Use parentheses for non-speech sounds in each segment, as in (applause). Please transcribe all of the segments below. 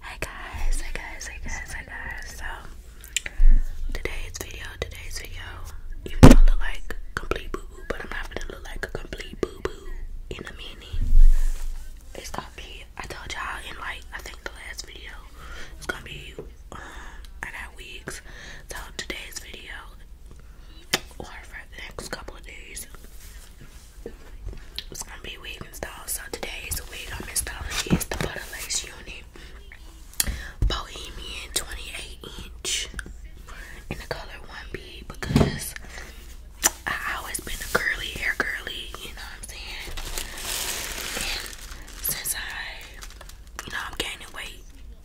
Hey guys, hey guys, hey guys, hey guys. So today's video, today's video, even though I look like complete boo-boo, but I'm not gonna look like a complete boo-boo in a minute. It's gonna be I told y'all in like I think the last video it's gonna be um I got wigs. So today's video or for the next couple of days it's gonna be wig install. So today's wig I'm installing is the Butterlace Unit Bohemian 28 inch in the color 1B because I always been a curly hair girly, you know what I'm saying? since I, you know, I'm gaining weight,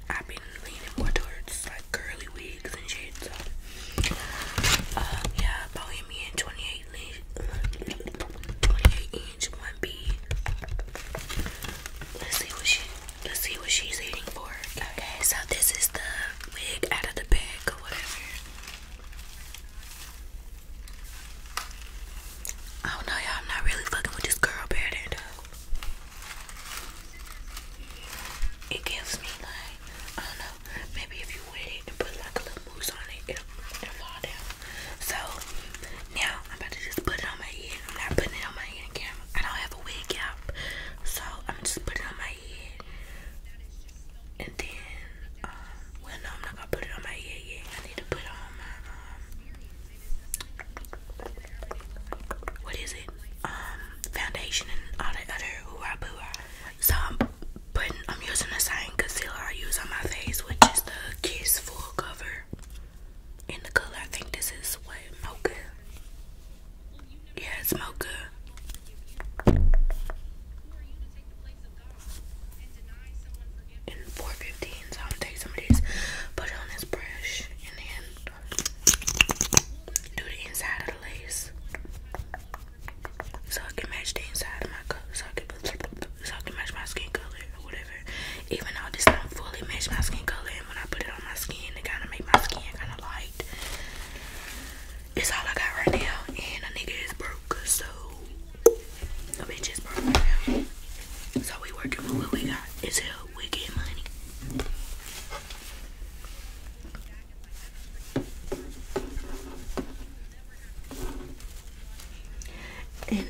I've been leaning more towards like curly wigs and shit. So, uh, yeah, Bohemian 28 28 inch 1B. Let's see what she let's see what she's eating for. Okay, so this is the wig out of the bag or whatever. Oh no, y'all, I'm not really fucking with this girl better It gives me like I don't know, maybe if you wet it and put like a little mousse on it, it'll, fall down. So now I'm about to just put it on my head. I'm not putting it on my head camera. I don't have a wig cap, so I'm just putting it on my head. And then, um, well no, I'm not gonna put it on my head yet. I need to put on my um, what is it? Um, foundation and all the other ooh so I'm putting, I'm using the same concealer I use on my face, which is the Kiss Full Cover. In the color, I think this is what mocha. Yeah, it's mocha. In 415, so I'm take some of this, put it on this brush, and then do the inside of the lace so I can match the inside of my cup, so I can so I can match my skin color whatever. Even though this don't fully match my skin color, and when I put it on my skin, it kind of make my skin kind of light. It's all I got right now, and a nigga is broke, so a bitch is broke right now. So we working with what we got. It's hell. We get money. And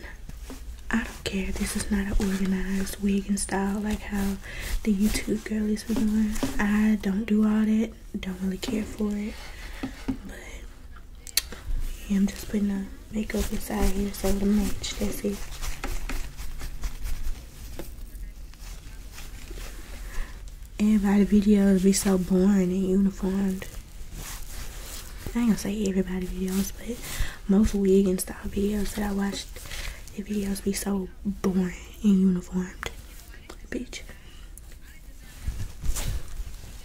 I don't care, this is not an organized wig and style like how the YouTube girlies were doing. I don't do all that, don't really care for it. But I'm just putting the makeup inside here so it'll match, that's it. Everybody videos be so boring and uniformed. I ain't gonna say everybody videos, but most wig and style videos that I watched, the videos be so boring and uniformed. Bitch.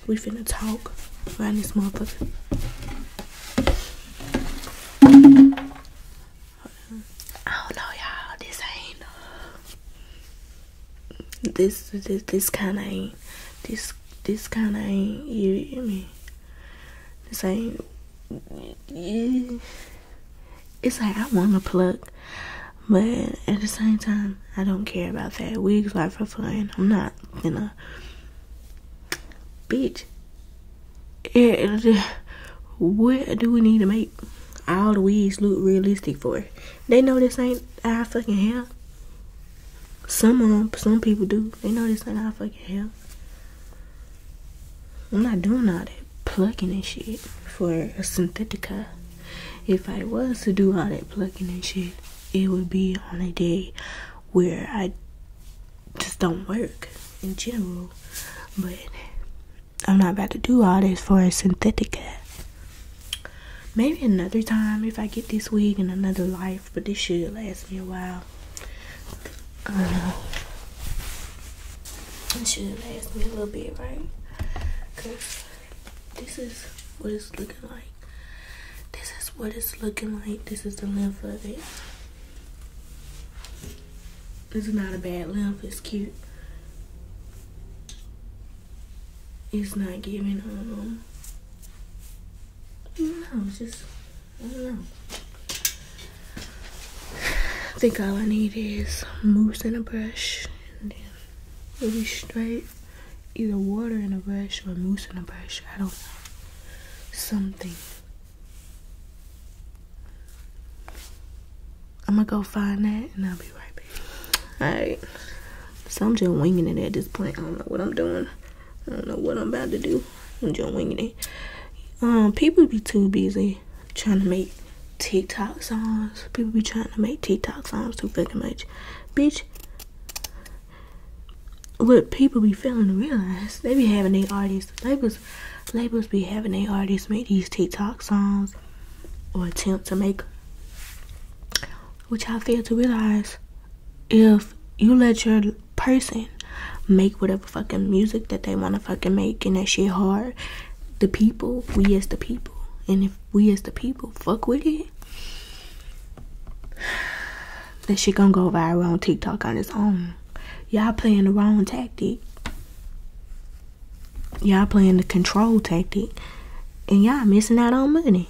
We finna talk around this motherfucker. I don't know, y'all. This ain't this this this kind of ain't this this kind of ain't you, you this ain't it's like I want to pluck, but at the same time I don't care about that. Wigs are for fun. I'm not gonna bitch. Eh, eh, eh, where do we need to make? all the weeds look realistic for it. They know this ain't our fucking hair. Some of them, some people do. They know this ain't our fucking hair. I'm not doing all that plucking and shit for a synthetica. If I was to do all that plucking and shit, it would be on a day where I just don't work in general. But I'm not about to do all this for a synthetica. Maybe another time if I get this wig in another life, but this should last me a while. Uh, I should last me a little bit, right? Cause this is what it's looking like. This is what it's looking like. This is the length of it. This is not a bad length. It's cute it's not giving um no, just I don't know. I think all I need is mousse and a brush and then it'll be straight. Either water and a brush or mousse and a brush. I don't know. Something. I'm gonna go find that and I'll be right back. Alright. So I'm just winging it at this point. I don't know what I'm doing. I don't know what I'm about to do. I'm just winging it. Um, people be too busy trying to make TikTok songs. People be trying to make TikTok songs too fucking much. Bitch, what people be failing to realize, they be having their artists, labels, labels be having their artists make these TikTok songs or attempt to make, which I fail to realize if you let your person make whatever fucking music that they want to fucking make and that shit hard, the people, we as the people, and if we as the people fuck with it, (sighs) that shit gonna go viral on TikTok on its own. Y'all playing the wrong tactic. Y'all playing the control tactic, and y'all missing out on money.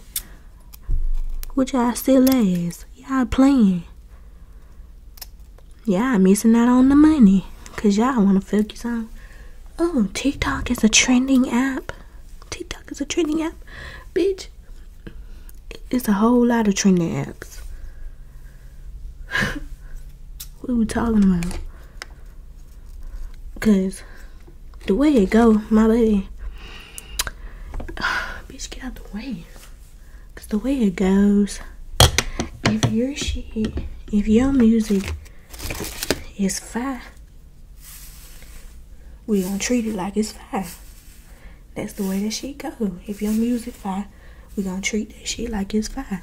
Which y'all still is. Y'all playing. Y'all missing out on the money, cause y'all want to focus on. Oh, TikTok is a trending app. TikTok is a trending app, bitch. It's a whole lot of trending apps. (laughs) What are we talking about? Cause the way it go, my lady. (sighs) Bitch, get out the way. Cause the way it goes, if your shit, if your music is fire, we gonna treat it like it's fire. That's the way that she go. If your music fire, we gonna treat that shit like it's fire.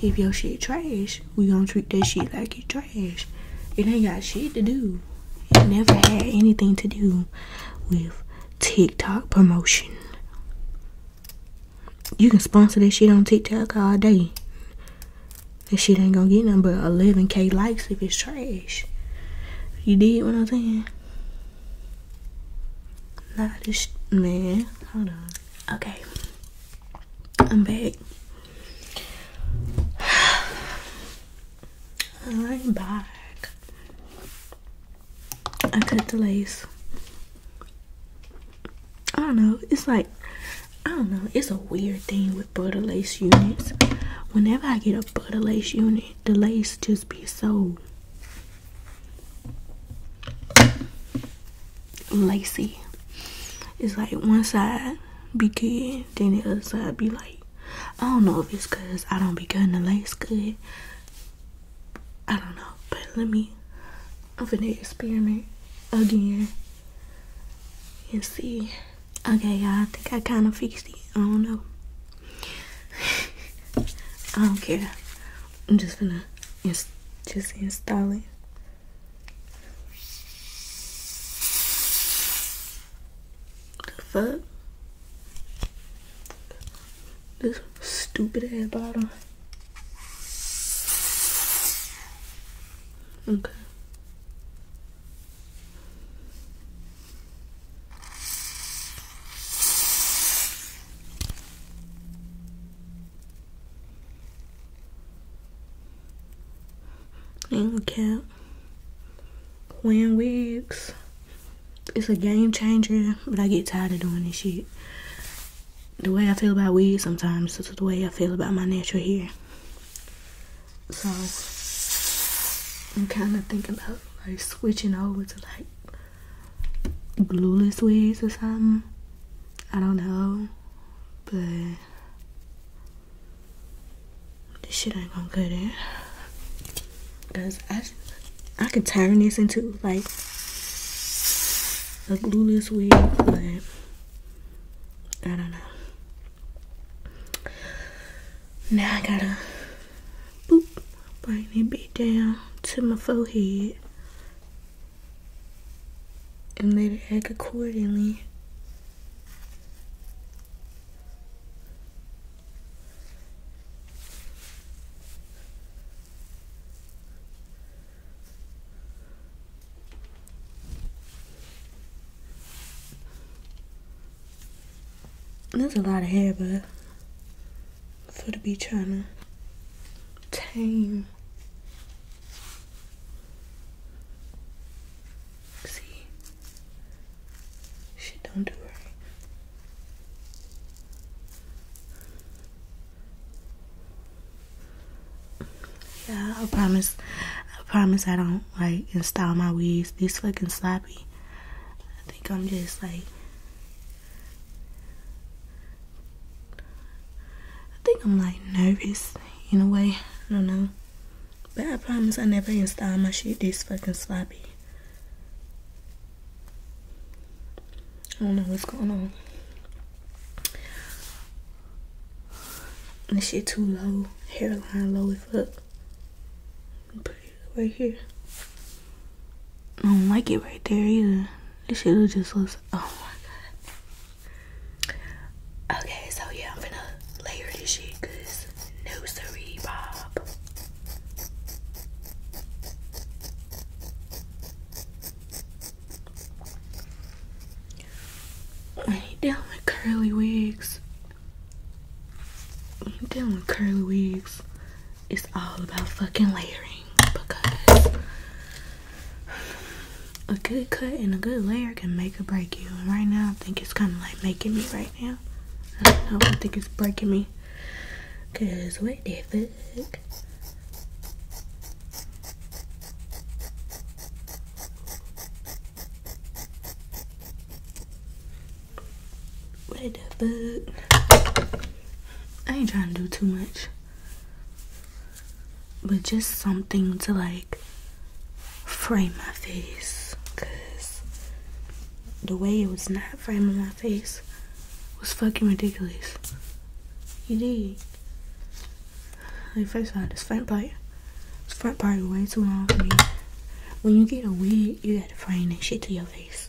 If your shit trash, we gonna treat that shit like it's trash. It ain't got shit to do. It never had anything to do with TikTok promotion. You can sponsor that shit on TikTok all day. That shit ain't gonna get nothing but 11k likes if it's trash. You did what I'm saying? Not this, man. Hold on. Okay. I'm back. I'm back. I cut the lace. I don't know. It's like, I don't know. It's a weird thing with butter lace units. Whenever I get a butter lace unit, the lace just be so lacy. It's like one side be good, then the other side be like, I don't know if it's because I don't be cutting the lace good. I don't know, but let me, I'm finna experiment again and see. Okay, y'all, I think I kind of fixed it. I don't know. (laughs) I don't care. I'm just gonna just install it. The fuck? This stupid ass bottle. Okay. And cap. Win wigs. It's a game changer, but I get tired of doing this shit. The way I feel about wigs sometimes is the way I feel about my natural hair. So I'm kind of thinking about like switching over to like glueless wigs or something. I don't know but this shit ain't gonna cut it. Cause I, I can turn this into like a glueless wig, but I don't know. Now I gotta boop, bring it bit down to my forehead and lay the egg accordingly. There's a lot of hair, but for to be trying to tame See? Shit don't do right. Yeah, I promise. I promise I don't like install my weeds. These fucking sloppy. I think I'm just like I think I'm like nervous in a way. I don't know. But I promise I never install my shit this fucking sloppy. I don't know what's going on. This shit too low. Hairline low as fuck. Put it right here. I don't like it right there either. This shit just looks. Oh my god. Okay, so yeah, I'm gonna layer this shit because no sorry, Bob. I need down with curly wigs. I am dealing with curly wigs. It's all about fucking layering because a good cut and a good layer can make or break you. And right now, I think it's kind of like making me right now. I don't know. I think it's breaking me. Cause what the fuck? What the fuck? I ain't trying to do too much but just something to like frame my face because the way it was not framing my face was fucking ridiculous. You did. Like, first of this front part, this front part is way too long for me. When you get a wig, you gotta frame that shit to your face.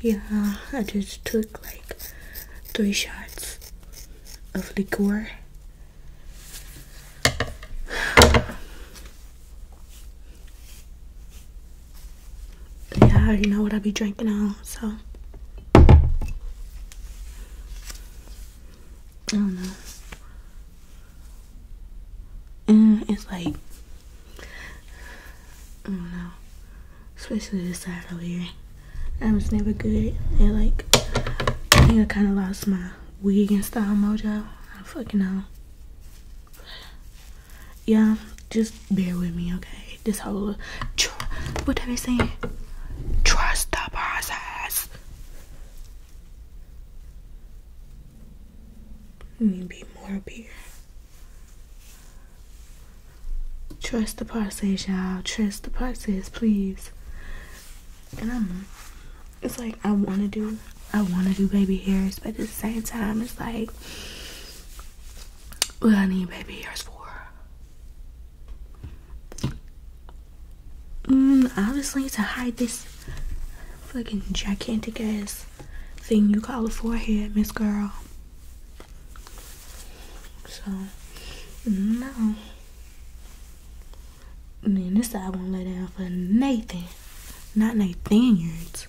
Yeah, I just took like three shots of liquor. yeah, I already know what I'll be drinking now, so. I don't know and mm, it's like I don't know, especially this side over here. I was never good at like I think I kind of lost my wig and style mojo. I fucking know. yeah, just bear with me, okay? This whole tr- what are they saying? Trust the process. Maybe more beer. Trust the process, y'all. Trust the process, please. And I'm, it's like I want to do, I want to do baby hairs, but at the same time, it's like, what I need baby hairs for. Mm, I was like to hide this fucking gigantic ass thing you call a forehead, Miss Girl. So, no. And then this I won't lay down for Nathan. Not Nathaniels.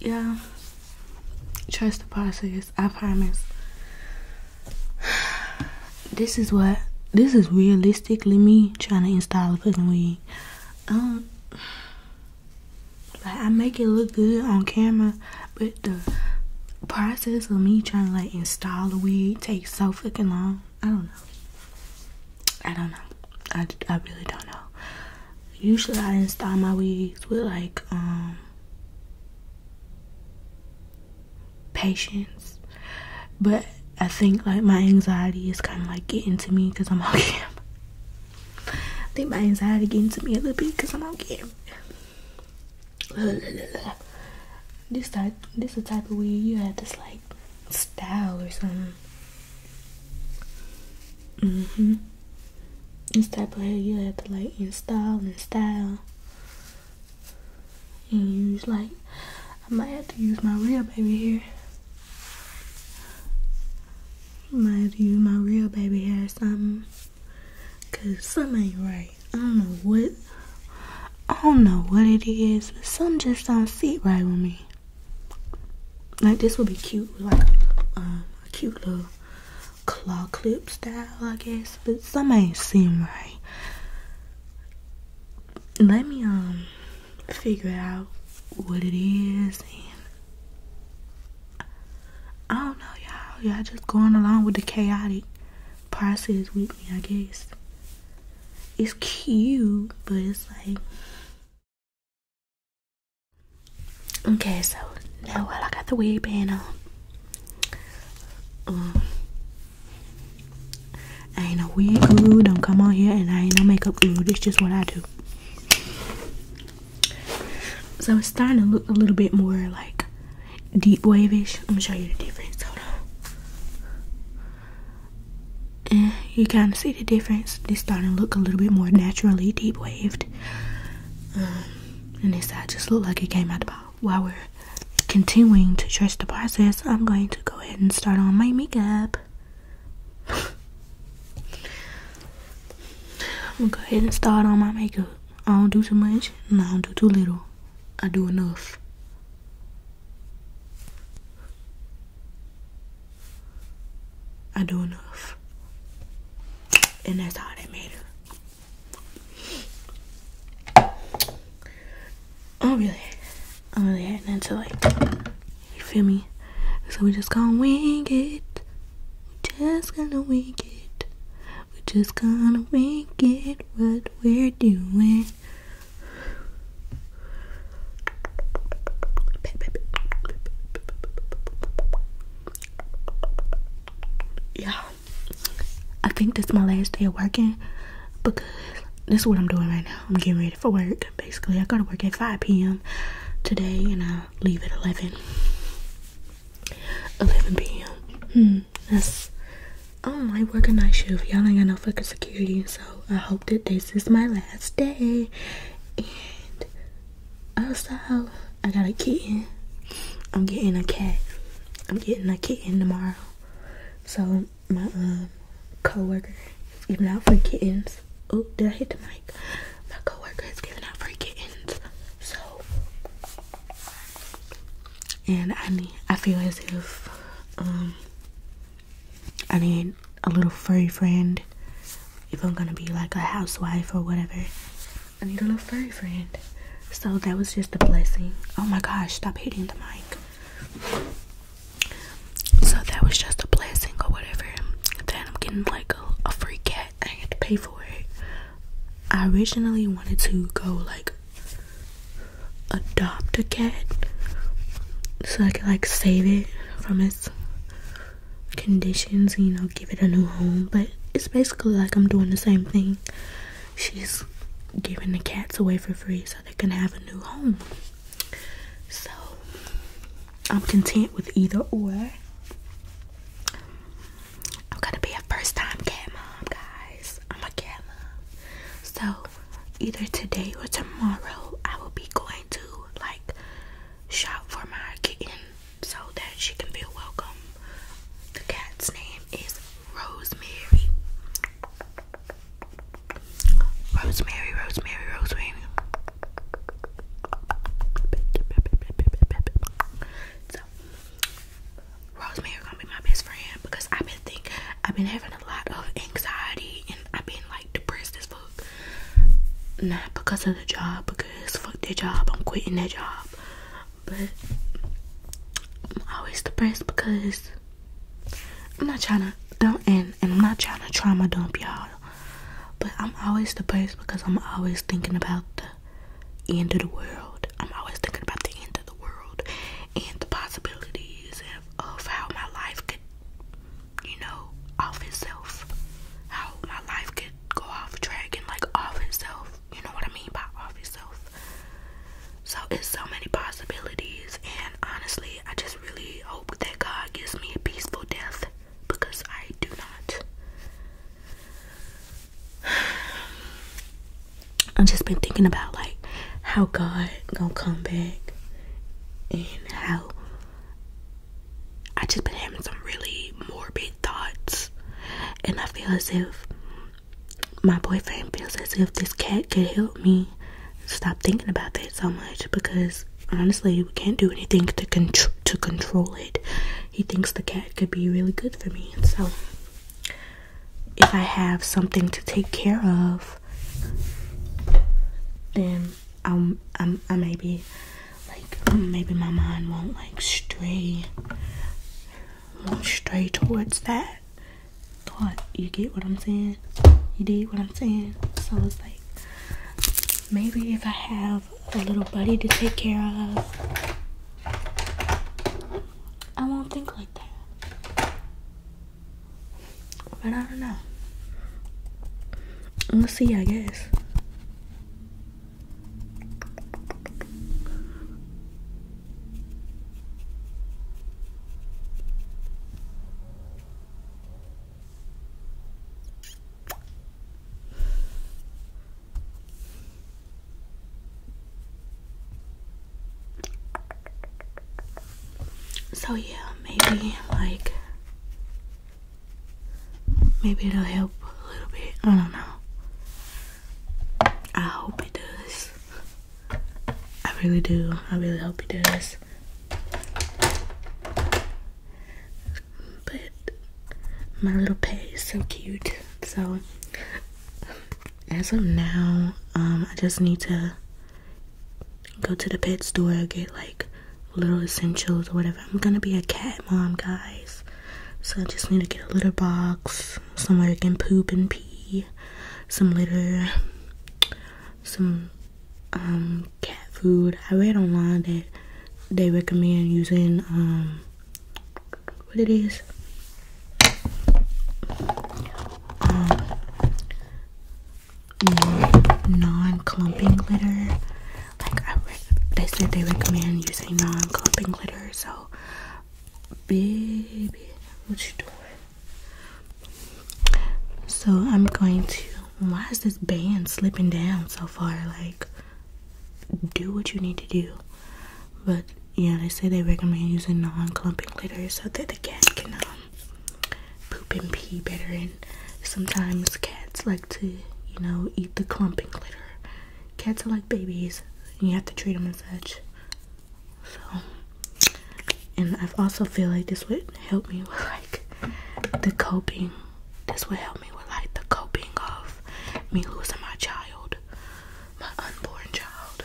yeah trust the process i promise this is what this is realistically me trying to install a fucking wig um like I make it look good on camera, but the process of me trying to like install the wig takes so fucking long. I don't know. I don't know. I, I really don't know. Usually I install my wigs with like um patience, but I think like my anxiety is kind of like getting to me because I'm on (laughs) camera. I think my anxiety getting to me a little bit because I'm out here. (sighs) This type, this is the type of wig you have to like style or something. Mm-hmm. this type of hair you have to like install and style. And use like I might have to use my real baby hair Mind you, my real baby had something. Cause something ain't right. I don't know what. I don't know what it is, but some just don't sit right with me. Like this would be cute, like um, a cute little claw clip style, I guess. But some ain't seem right. Let me um figure out what it is and I don't know y'all y'all just going along with the chaotic process with me I guess it's cute but it's like okay so now while I got the wig band on um, I ain't no wig guru don't come on here and I ain't no makeup guru it's just what I do so it's starting to look a little bit more like deep wavy. I'm gonna show you the difference. Hold on. you kind of see the difference. They're starting to look a little bit more naturally deep waved. Um, and this side just looked like it came out of the bottle. While we're continuing to trust the process, I'm going to go ahead and start on my makeup. I'm gonna go ahead and start on my makeup. I don't do too much and I don't do too little. I do enough. I do enough. And that's all that matters. Oh, really? I'm really heading into like, you feel me? So we just gonna wing it. We just gonna wing it. We just gonna wing it. What we're doing. Yeah, I think this is my last day of working because this is what I'm doing right now. I'm getting ready for work. Basically, I go to work at 5 p.m. today and I leave at 11. 11 p.m. Hmm, that's. I my, not like working night shift. Y'all ain't got no fucking security, so I hope that this is my last day. And also, I got a kitten. I'm getting a cat. I'm getting a kitten tomorrow. So my um, coworker even giving out for kittens. Oh, did I hit the mic? My coworker is giving out free kittens. So, and I need, I feel as if, um, I need a little furry friend. If I'm gonna be like a housewife or whatever, I need a little furry friend. So that was just a blessing. Oh my gosh, stop hitting the mic. So that was just a blessing or whatever. Then I'm getting like a, a free cat. I had to pay for it. I originally wanted to go like adopt a cat so I could like save it from its conditions, you know, give it a new home. But it's basically like I'm doing the same thing. She's giving the cats away for free so they can have a new home. So I'm content with either or. I'm gonna be a first time cat mom, guys. I'm a cat mom. So either today or tomorrow, I will be going to like shop for my kitten so that she can feel welcome. The cat's name is Rosemary. Rosemary, rosemary, rosemary. So, rosemary gonna be my best friend because I've been think I've been having a lot of anxiety and I've been like depressed as fuck. Not because of the job, because fuck that job, I'm quitting that job. But I'm always depressed because I'm not trying to dump in, and I'm not trying to try my dump y'all. But I'm always depressed because I'm always thinking about the end of the world. I'm always thinking about the end of the world and the possibilities of, of how my life could, you know, off itself. How my life could go off track and like off itself. You know what I mean by off itself. So it's so many possibilities and honestly I just really that God gives me a peaceful death because I do not. (sighs) I've just been thinking about like how God gonna come back and how I just been having some really morbid thoughts and I feel as if my boyfriend feels as if this cat could help me stop thinking about that so much because honestly, we can't do anything to contr to control it. He thinks the cat could be really good for me, so if I have something to take care of, then I'm, I'm I may be like maybe my mind won't like stray won't stray towards that thought. You get what I'm saying? You did what I'm saying? So it's like maybe if I have a little buddy to take care of, I won't think like that. But I don't know. We'll see, I guess. So yeah, maybe like maybe it'll help a little bit. I don't know. I hope it does. I really do. I really hope it does. But my little pey is so cute. So as of now, um, I just need to go to the pet store, get like little essentials or whatever. I'm gonna be a cat mom, guys. So I just need to get a litter box, somewhere I can poop and pee, some litter, some um, cat food. I read online that they recommend using um, what it is. Um, non-clumping glitter. Like I they said they recommend using non-clumping glitter. So, baby, what you doing? So I'm going to. Why is this band slipping down so far? Like, do what you need to do. But yeah, they say they recommend using non-clumping litter so that the cat can um, poop and pee better. And sometimes cats like to, you know, eat the clumping litter. Cats are like babies. you have to treat them as such. So and I've also feel like this would help me with like the coping. This would help me with like the coping of me losing my child, my unborn child.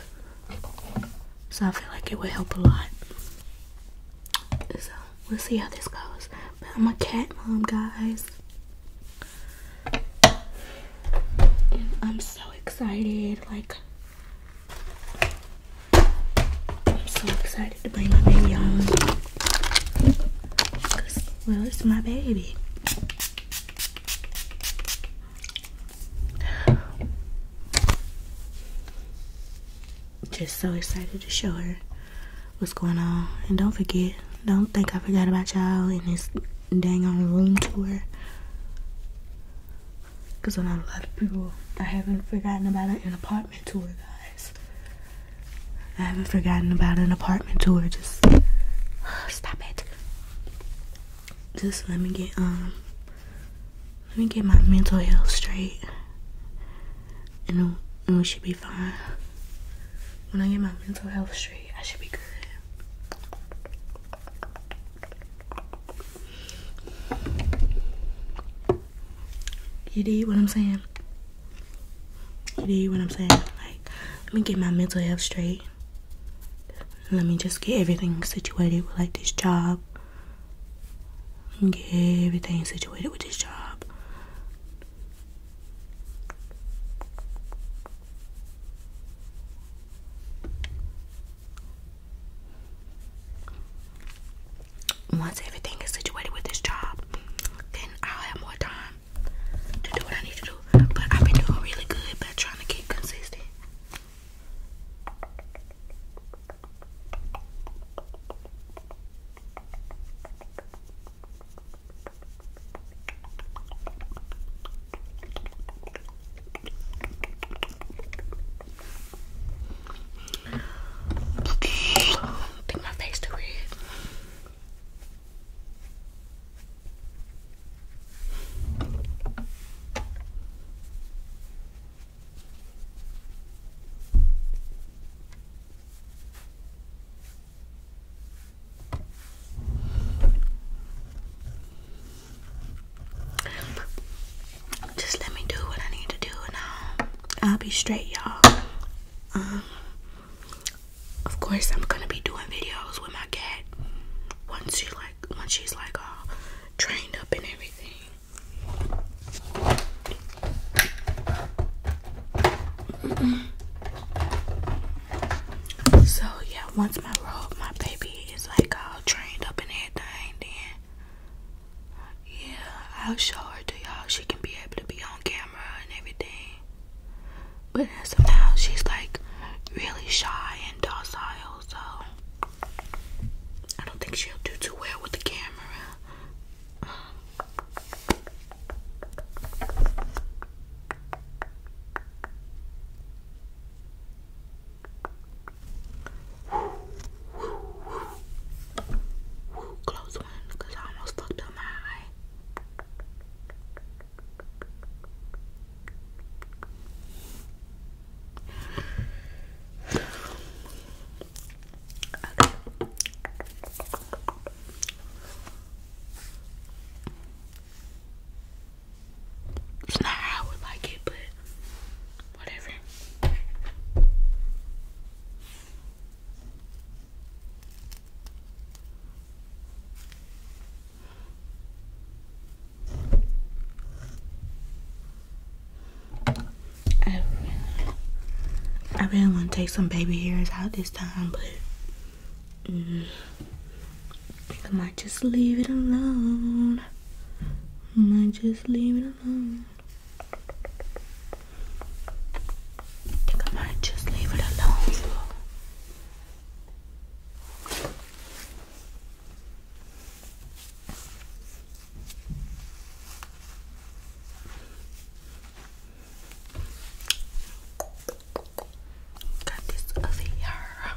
So I feel like it would help a lot. So we'll see how this goes. But I'm a cat mom, guys. And I'm so excited. Like I'm so excited to bring my baby home. Cause, well, it's my baby. Just so excited to show her what's going on. And don't forget, don't think I forgot about y'all in this dang on room tour. Because I know a lot of people I haven't forgotten about an apartment tour, guys. I haven't forgotten about an apartment tour. Just (sighs) stop it. Just let me get um let me get my mental health straight. And, and we should be fine. When I get my mental health straight, I should be good. You did what I'm saying? You did what I'm saying? Like, let me get my mental health straight. Let me just get everything situated with like this job. Get everything situated with this job. Once everything is situated with this job, then I'll have more time to do what I need to do. But I've been doing really good, but trying to keep consistent. Think my face too red. Just let me do what I need to do and I'll, be straight, y'all. Um, of course, I'm gonna be doing videos with my cat once she like once she's like all trained up and everything. So yeah, once my my baby is like all trained up and everything, then yeah, I'll show her to y'all. She can be able to be on camera and everything. But somehow she's like really shy and docile, so I don't think she'll do too well with the camera close one, because I almost fucked up my eye. It's not how I would like it, but whatever. I, really want to take some baby hairs out this time, but I might just leave it alone. I might just leave it alone. I think just leave it alone for. Got this over here.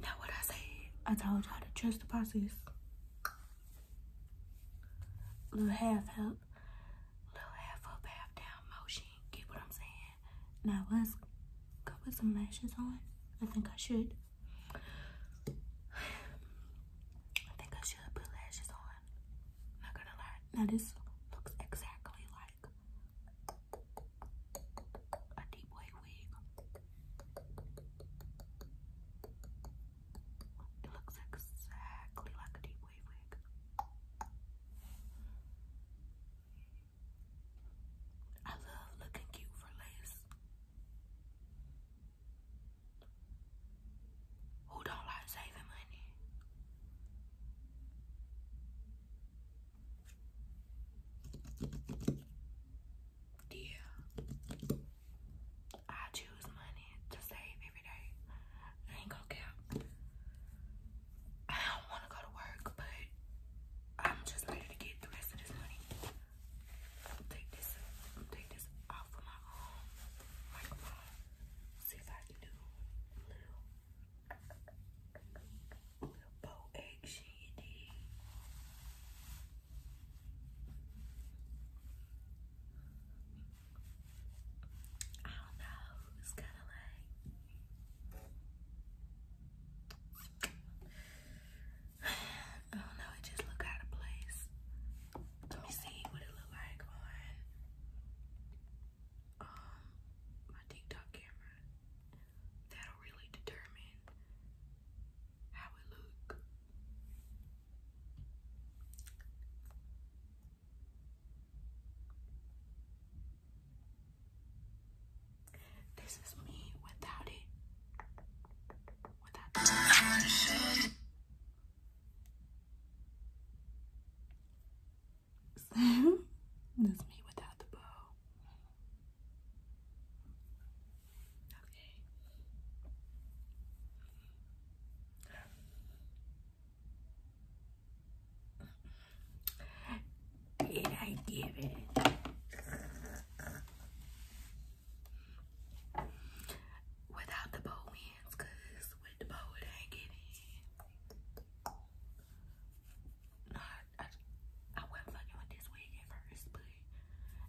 Now what I say, I told y'all to trust the process. Little half help, little half up, half down motion. Get what I'm saying? Now I was gonna put some lashes on. I think I should. I think I should put lashes on. Not gonna lie. Now this looks exactly like a deep wave wig. It looks exactly like a deep white wig. I love looking cute for lace. Who don't like saving money? Yeah. I choose money to save every day. ain't gonna count. I don't want to go to work, but I'm just ready to get the rest of this money. take this, take this off of my um, microphone. Uh, see if I can do a little, little bow action. You I don't know. It's kind of like. I (sighs) don't oh, know, it just look out of place. Let me see what it look like on um my TikTok camera. That'll really determine how it look. This is me without it. Without it. (laughs) this is me without the bow. Okay. Did I give it? Without the bow ends, with the bow it ain't getting. No, I, wasn't fucking with this wig at first, but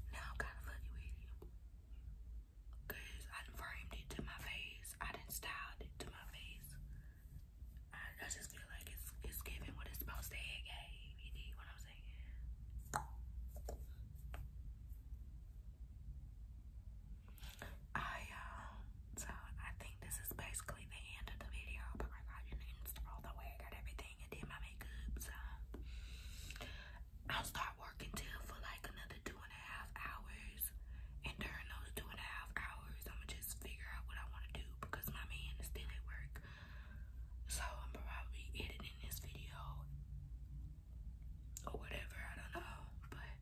now I'm kind of fucking with it. I framed it to my face, I done styled it to my face. I, just feel like it's it's giving what it's supposed to have You need what I'm saying? I um so I think this is basically the end of the video because oh I didn't all the wig Got everything and did my makeup so I'll start working till for like another two and a half hours, and during those two and a half hours, I'm gonna just figure out what I want to do because my man is still at work. So I'm probably editing this video or whatever, I don't know, but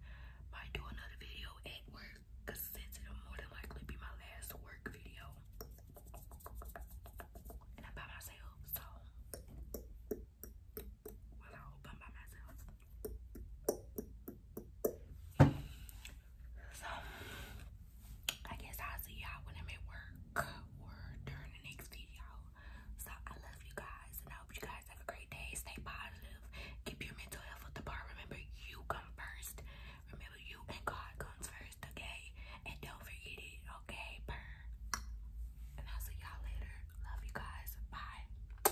might do another video at work because since it more than likely be my last work video. And myself, so I hope I'm by myself. So, I guess I'll see y'all when I'm at work or during the next video. So, I love you guys and I hope you guys have a great day. Stay positive. Keep your mental health at the bar. Remember, you come first. Remember, you and God comes first, okay? And don't forget it, okay? Burn. And I'll see y'all later. Love you guys. Bye.